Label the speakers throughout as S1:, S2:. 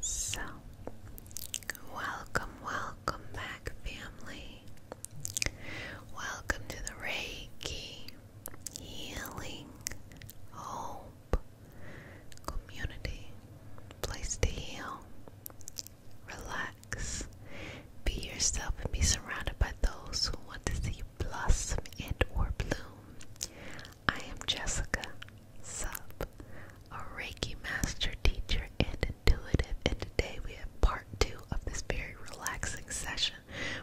S1: So, welcome, welcome back, family. Welcome to the Reiki Healing Hope Community. Place to heal, relax, be yourself, and be surrounded by those who want to see you blossom and or bloom. I am Jessica Sub, a Reiki master teacher and intuitive, and today we have part two of this very relaxing session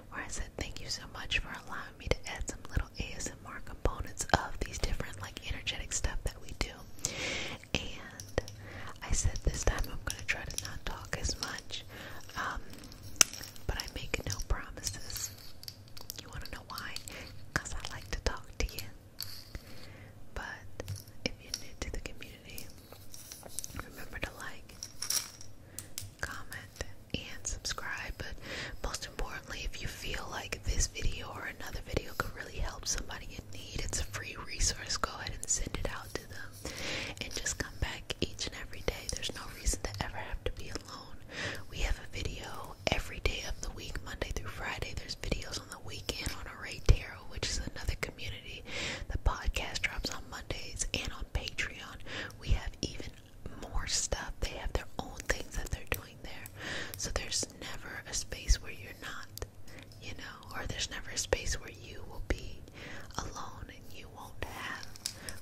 S1: where I said thank you so much for allowing me to add some little ASMR components of these different like energetic stuff that we do. And I said this time I'm gonna try to not talk as much. Um, but I make no promises. You want to know why? Because I like to talk to you. But if you're new to the community, remember to like, comment, and subscribe. But most importantly, if you feel like this video or another video could really help somebody in need, it's a free resource. Go ahead and send it out to them and just come back each and every day. There's no reason to ever have to be alone. We have a video every day of the week, Monday through Friday. There's videos on the weekend on Array Tarot, which is another community. The podcast drops on Mondays and on Patreon. We have even more stuff. They have their own things that they're doing there. So there's never a space where you're not, you know, or there's never a space where you will be alone and you won't have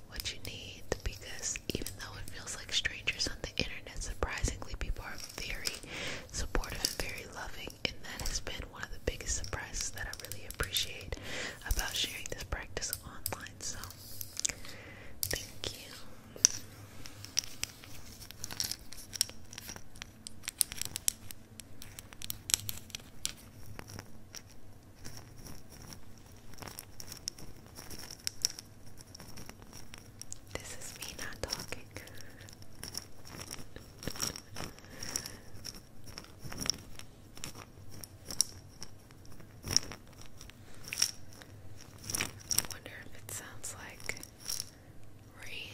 S1: what you need because even though it feels like strangers on the internet, surprisingly people are very supportive and very loving and that has been one of the biggest surprises that I really appreciate about sharing this practice online. So thank you. This is me not talking. I wonder if it sounds like rain.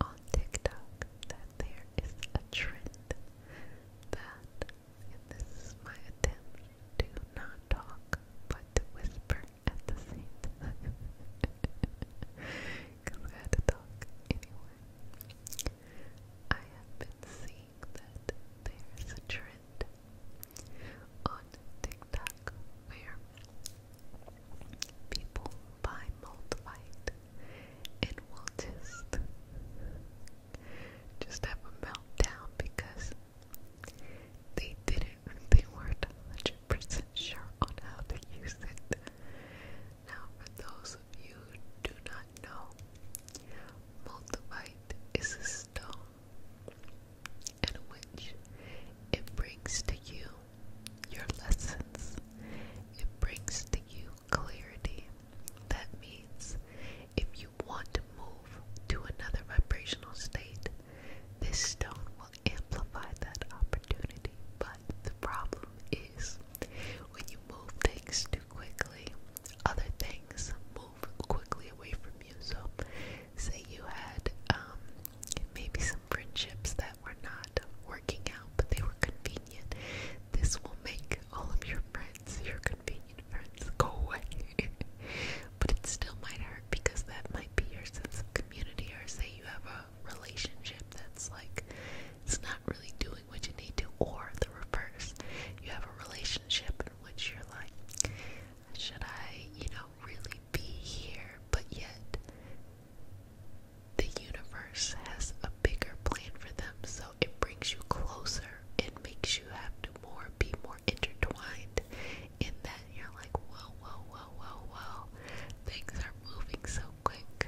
S1: on TikTok that there is a trend that, this is my attempt to not talk but whisper at the same time because I had to talk anyway. I have been seeing that there is a trend on TikTok where people buy multivite and will just have a meltdown because they didn't they weren't hundred percent sure on how to use it. Now for those of you who do not know, multivite is a stone in which it brings to you your lessons. It brings to you clarity. That means if you want to move to another vibrational state, this stone will amplify that opportunity. But the problem is when you move things too quickly, other things move quickly away from you. So, say you had um, maybe some friendships that were not not working out, but they were convenient. This will make all of your friends, your convenient friends, go away. but it still might hurt because that might be your sense of community, or say you have a relationship that's like it's not really doing what you need to, or the reverse. You have a relationship in which you're like, should I, you know, really be here? But yet the universe has a bigger plan for them, so it brings you closer. It makes you have to more be more intertwined in that you're like, whoa, whoa, whoa, whoa, whoa. Things are moving so quick.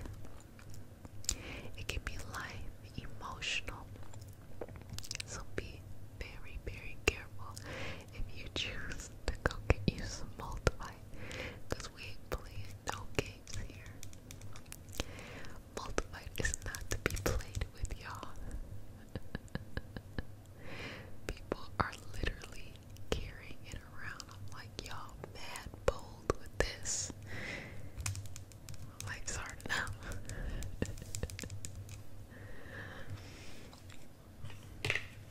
S1: It can be life, emotional. So be very, very careful if you choose to go get you some multiply. Because we ain't no games here. Multiplied is not to be played with, y'all. People are literally carrying it around. I'm like, y'all mad bold with this. Life's hard enough.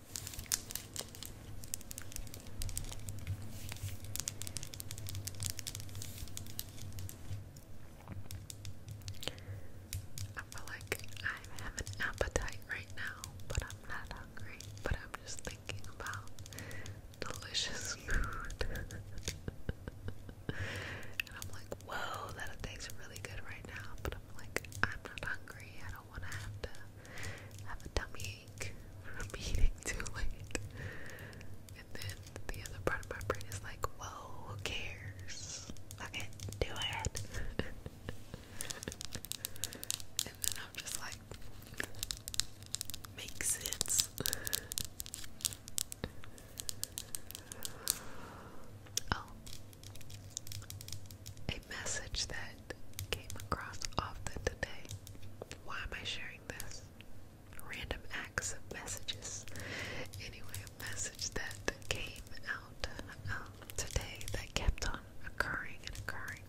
S1: I feel like I have an appetite right now, but I'm not hungry, but I'm just thinking about delicious food. and I'm like, whoa, that tastes really good right now, but I'm like, I'm not hungry, I do want to have to have a tummy from eating too late. And then the other part of my brain is like, who cares? Okay, do it. and then I'm just like, makes sense. Oh, a message that came across often today. Why am I sharing this? Random acts of messages. Anyway, a message that came out um, today that kept on occurring and occurring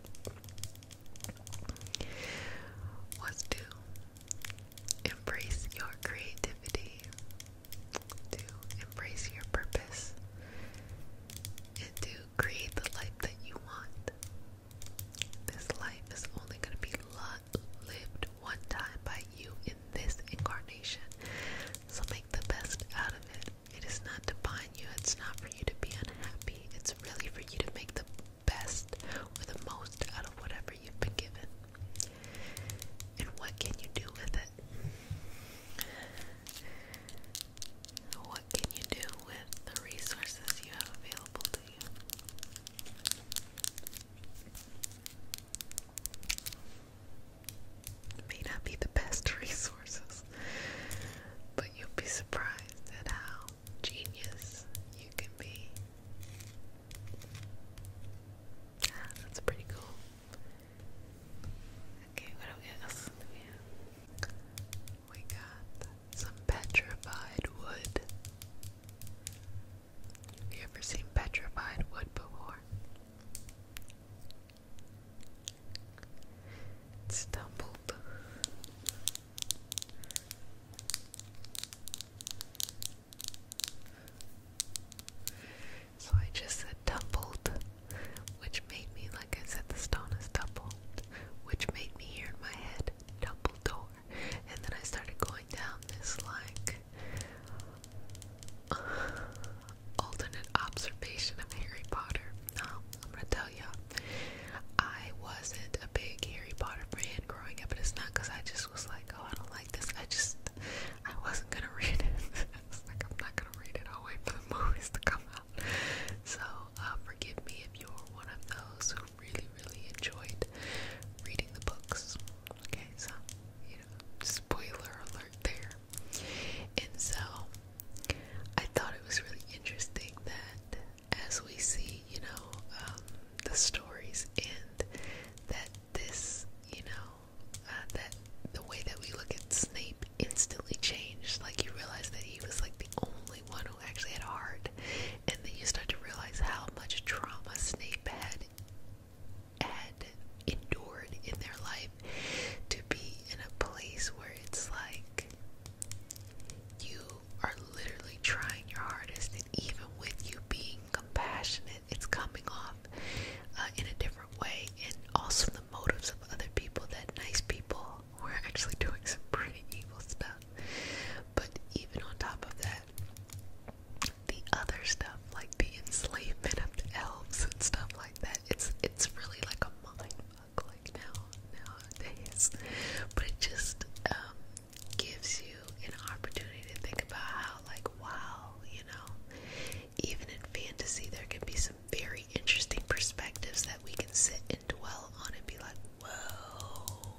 S1: was to embrace your creativity, to embrace your purpose, and to create the life that you want. This life is only going to be lived one time by you in this incarnation. So make the best out of it. It is not to bind you, it's not for you to be unhappy. It's really for you to make the best or the most out of whatever you've been given. And what can you do with it? What can you do with the resources you have available to you? may not be the best resources, but you'll be surprised at how genius you can be. Ah, that's pretty cool. Okay, what do we have? We got some petrified wood. Have you ever seen petrified wood before? tumbled. So I just said tumbled which made me, like I said, the stone is doubled, which made me hear in my head, double door. And then I started going down this, like, alternate observation of Harry Potter. Now, I'm gonna tell you, I wasn't a big Harry Potter fan growing up, and it's not because I just was like, oh, I don't like this. I just, I wasn't gonna read it. I was like, I'm not gonna read it. I'll wait for the movies to come out. so uh, forgive me if you're one of those who really, really enjoyed reading the books. Okay, so you know, spoiler alert there. And so I thought it was really interesting that as we see, you know, um, the stories end, that this, you know, uh, that the way that we look at Snape instantly changed. Like you realize that he was like the only one who actually had a heart, and then you start to realize how much trauma Snape had had endured in their life to be in a place where it's like you are literally trying your hardest, and even with you being compassionate, it's coming off uh, in a different way. And also the the motives of other people that nice people were actually doing some pretty evil stuff. But even on top of that, the other stuff, like the enslavement of the elves and stuff like that, it's it's really like a mind fuck like now nowadays. But it just um gives you an opportunity to think about how like wow, you know, even in fantasy, there can be some very interesting perspectives that we can sit and dwell on and be like, whoa,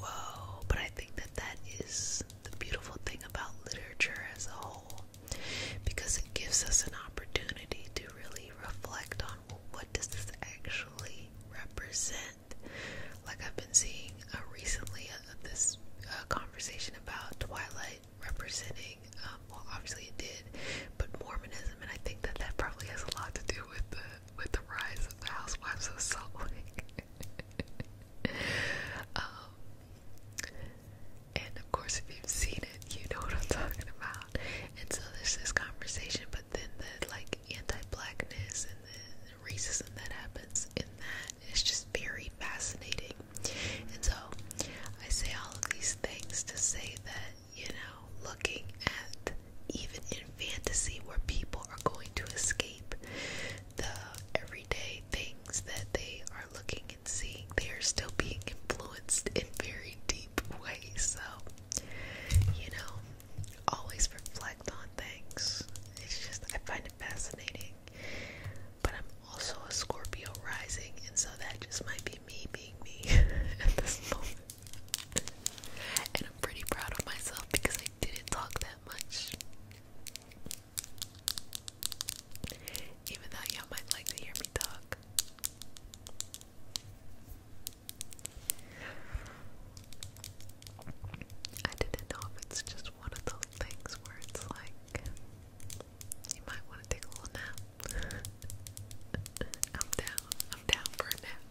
S1: whoa. But I think that that is the beautiful thing about literature as a whole because it gives us an opportunity to really reflect on what does this actually represent? Like I've been seeing uh, recently uh, this uh, conversation about Twilight representing, um, well, obviously it did, but Mormonism, and I think that that probably has a lot to do with the with the rise of the Housewives of Salt Lake. um, and of course, if you've seen it, you know what I'm talking about. And so there's this conversation, but then the like anti-blackness and the, the racism that happens in that is just very fascinating. And so I say all of these things to say that, you know, looking at even in fantasy where people are going to escape the everyday things that they are looking and seeing, they are still being influenced in very deep ways. So, you know, always reflect on things. It's just, I find it fascinating but I'm also a Scorpio rising, and so that just might be me being me at this moment. and I'm pretty proud of myself because I didn't talk that much. Even though y'all might like to hear me talk. I didn't know if it's just one of those things where it's like you might want to take a little nap. I'm down. I'm down for a nap.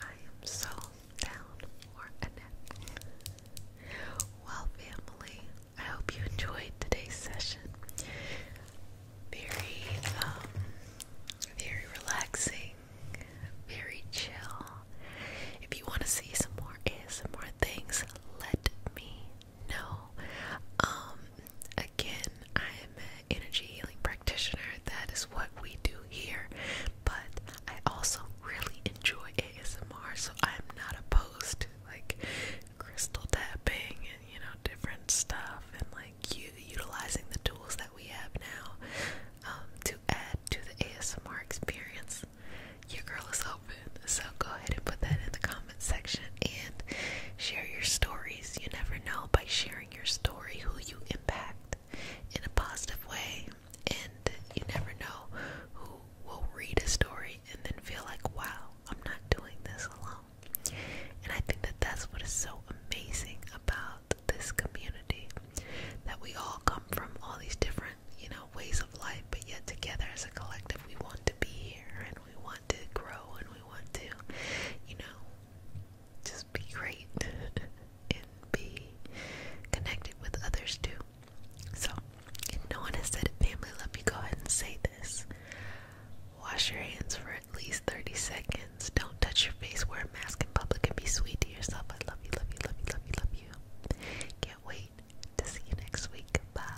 S1: I am so down for a nap. Well, family, I hope you enjoyed today's session. Very, um, very relaxing, very chill. If you want to see some more ASMR things, let me know. Um, again, I am an energy healing practitioner. That is what we do here. But I also really enjoy ASMR, so I'm not opposed to like crystal tapping and you know different stuff and like you utilizing the tools that we have now um, to add to the ASMR experience your girl is open. So go ahead and put that in the comment section and share your stories. You never know by sharing your story who you impact in a positive way. And you never know who will read a story and then feel like, wow, I'm not doing this alone. And I think that that's what is so amazing about this community that we all come from all these different you know, ways of life, but yet together as a collective, we want to be here and we want to grow and we want to, you know, just be great and be connected with others too. So, if no one has said it, family, let me go ahead and say this. Wash your hands for at least 30 seconds. Don't touch your face, wear a mask in public, and be sweet to yourself. I love you, love you, love you, love you, love you. Can't wait to see you next week. Bye.